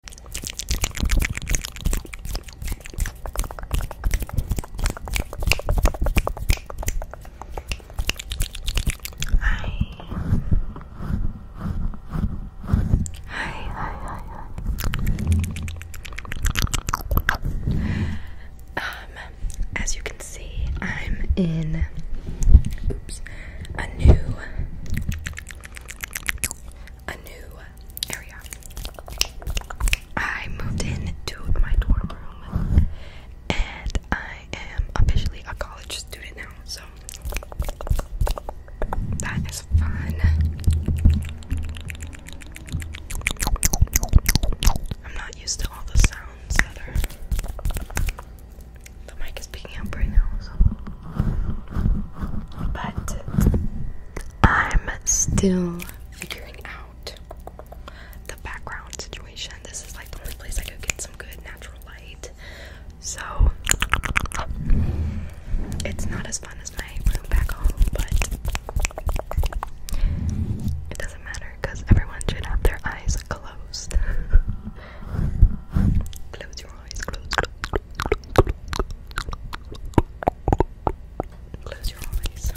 Hi. Hi, hi, hi, hi. Um, as you can see, I'm in oops, a new a new area. I moved into my dorm room and I am officially a college student now, so that is fun. I'm not used to all the sounds that the mic is picking up right now, But I'm still figuring out the background situation. This is like the only place I could get some good natural light. So it's not as fun as my room back home, but it doesn't matter because everyone should have their eyes closed. Close your Close, your eyes.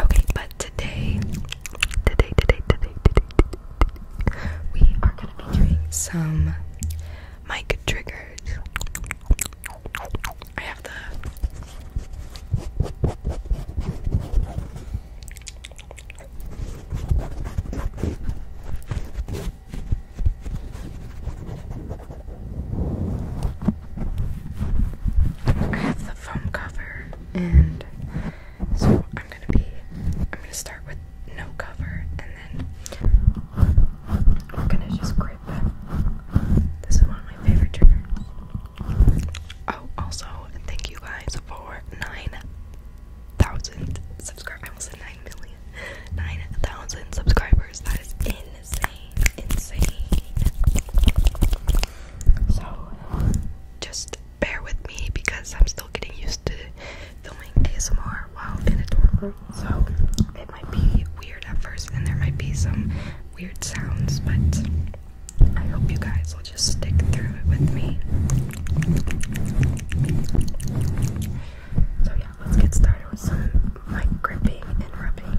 Okay, but today, today, today, today, today, we are gonna be doing some mic triggers. I have the I have the foam cover, and so I'm gonna be. I'm gonna start with no cover, and then I'm gonna just grip. This is one of my favorite triggers. Oh, also, thank you guys for 9,000 subscribers. I almost said 9 million. 9,000 subscribers. That is insane. Insane. So, just bear with me because I'm still getting used to filming ASMR while in a dorm room. So, it might be weird at first and there might be some weird sounds, but I hope you guys will just stick through it with me. So, yeah, let's get started with some mic and rubbing.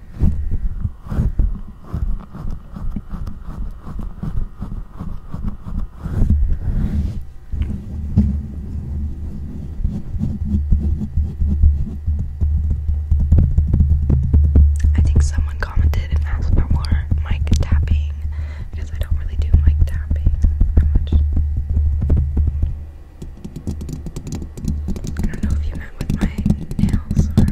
I think someone commented and asked for more mic tapping because I don't really do mic tapping that much. I don't know if you meant with my nails or.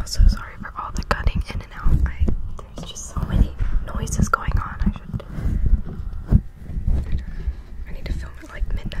I'm so sorry for all the cutting in and out. There's just so many noises going on. I should. I, need to film like midnight.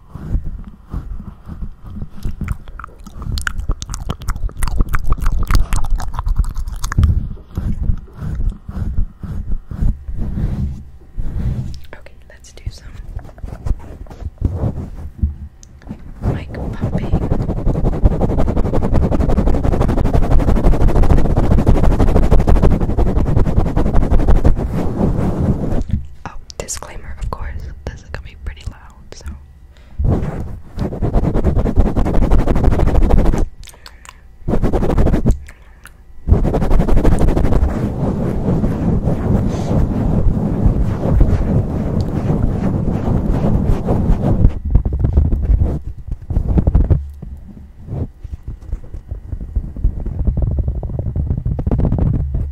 Okay, let's do some mic pumping. Oh, disclaimer, of course, this is gonna be pretty loud, so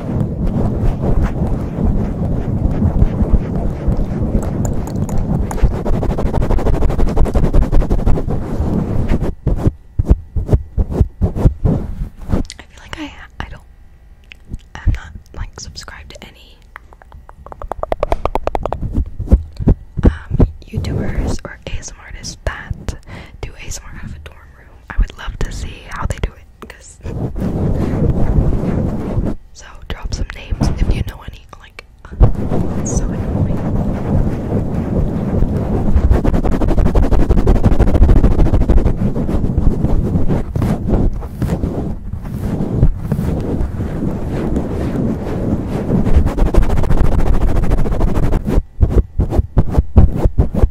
I feel like I I don't I'm not like subscribed to any um, YouTubers or ASM artists that do ASMR out of a dorm room. I would love to see how they do it so drop some names if you know any like so annoying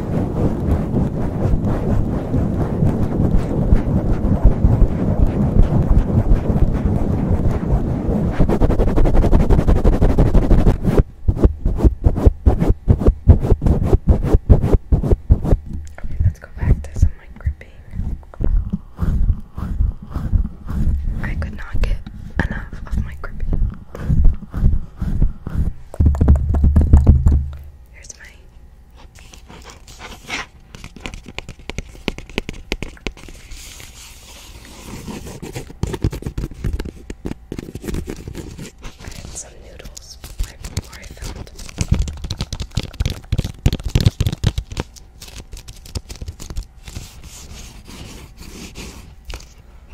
Okay, let's go back to some like gripping. I could not get enough of my gripping. Here's my I had some noodles I filmed.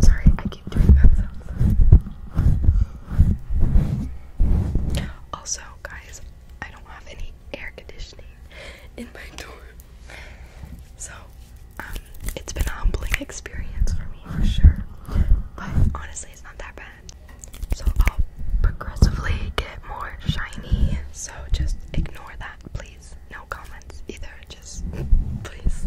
Sorry, I keep doing that Also, guys, I don't have any air conditioning in my dorm. So, um, it's been a humbling experience for me for sure. But honestly, it's not that bad. So I'll progressively get more shiny. So just ignore that, please. No comments either. Just please.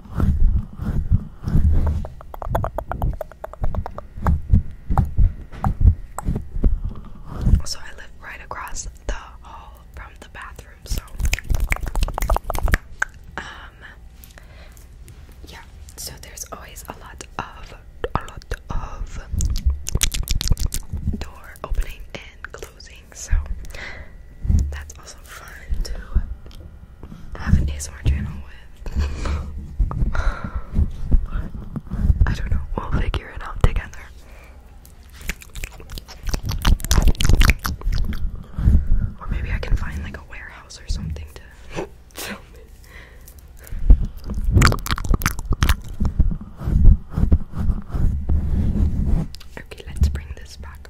So I live right across the hall from the bathroom, so um yeah, so there's always a lot of a lot of door opening and closing, so that's also fun to have an ASMR channel with. I don't know. We'll figure it out together. Or maybe I can find like a warehouse or something to film it. Okay, let's bring this back.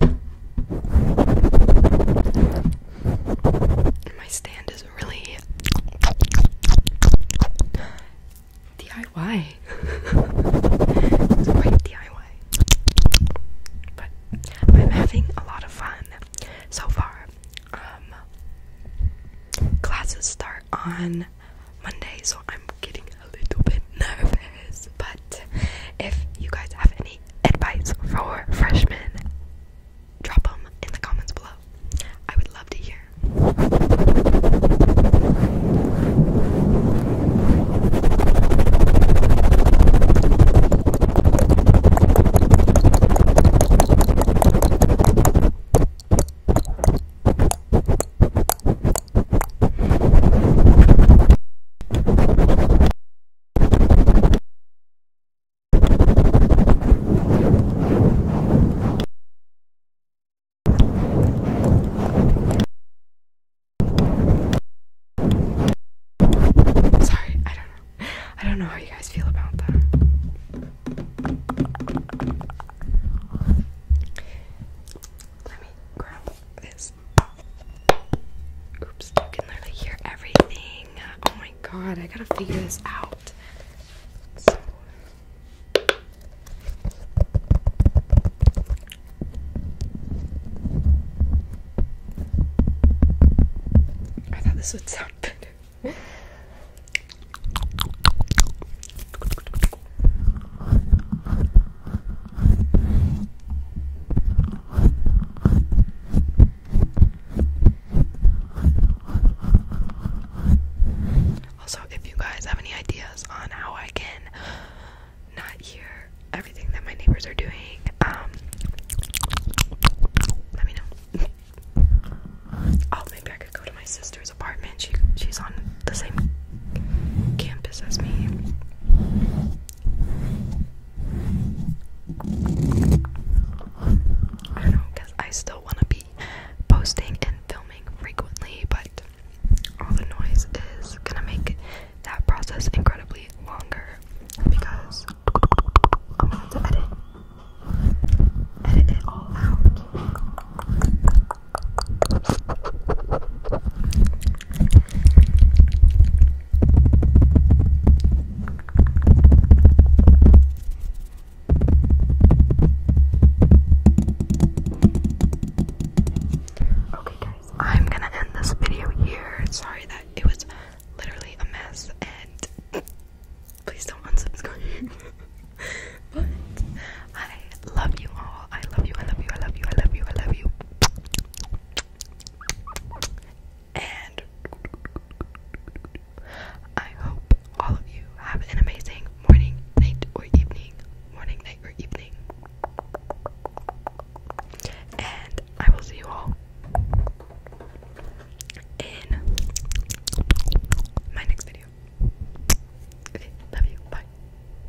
My stand is really DIY. it's quite DIY. But I'm having a lot of fun so far. Um, classes start on Monday, so I'm getting a little bit nervous. But if you guys have any advice for freshmen, drop them in the comments below. I would love to hear. Sorry, I don't know. I don't know how you guys feel about that. Let me grab Oops, you can literally hear everything. Oh my god, I gotta figure this out. I thought this would sound better. Also, if you guys have any ideas on how I can not hear everything that my neighbors are doing, um, let me know. oh, maybe I could go to my sister's apartment. She she's on the same campus as me. I don't know, because I still want to be posting and filming frequently, but all the noise is going to make that process incredibly longer because I'm going to have to edit, edit it all out. Okay, guys, I'm gonna end this video here. Sorry that it was literally a mess, and please don't unsubscribe. but I love you all all. I love you. I love you. I love you. I love you. I love you. And I hope all of you have an amazing morning, night, or evening. Morning, night, or evening. And I will see you all in my next video. Okay, love you. Bye.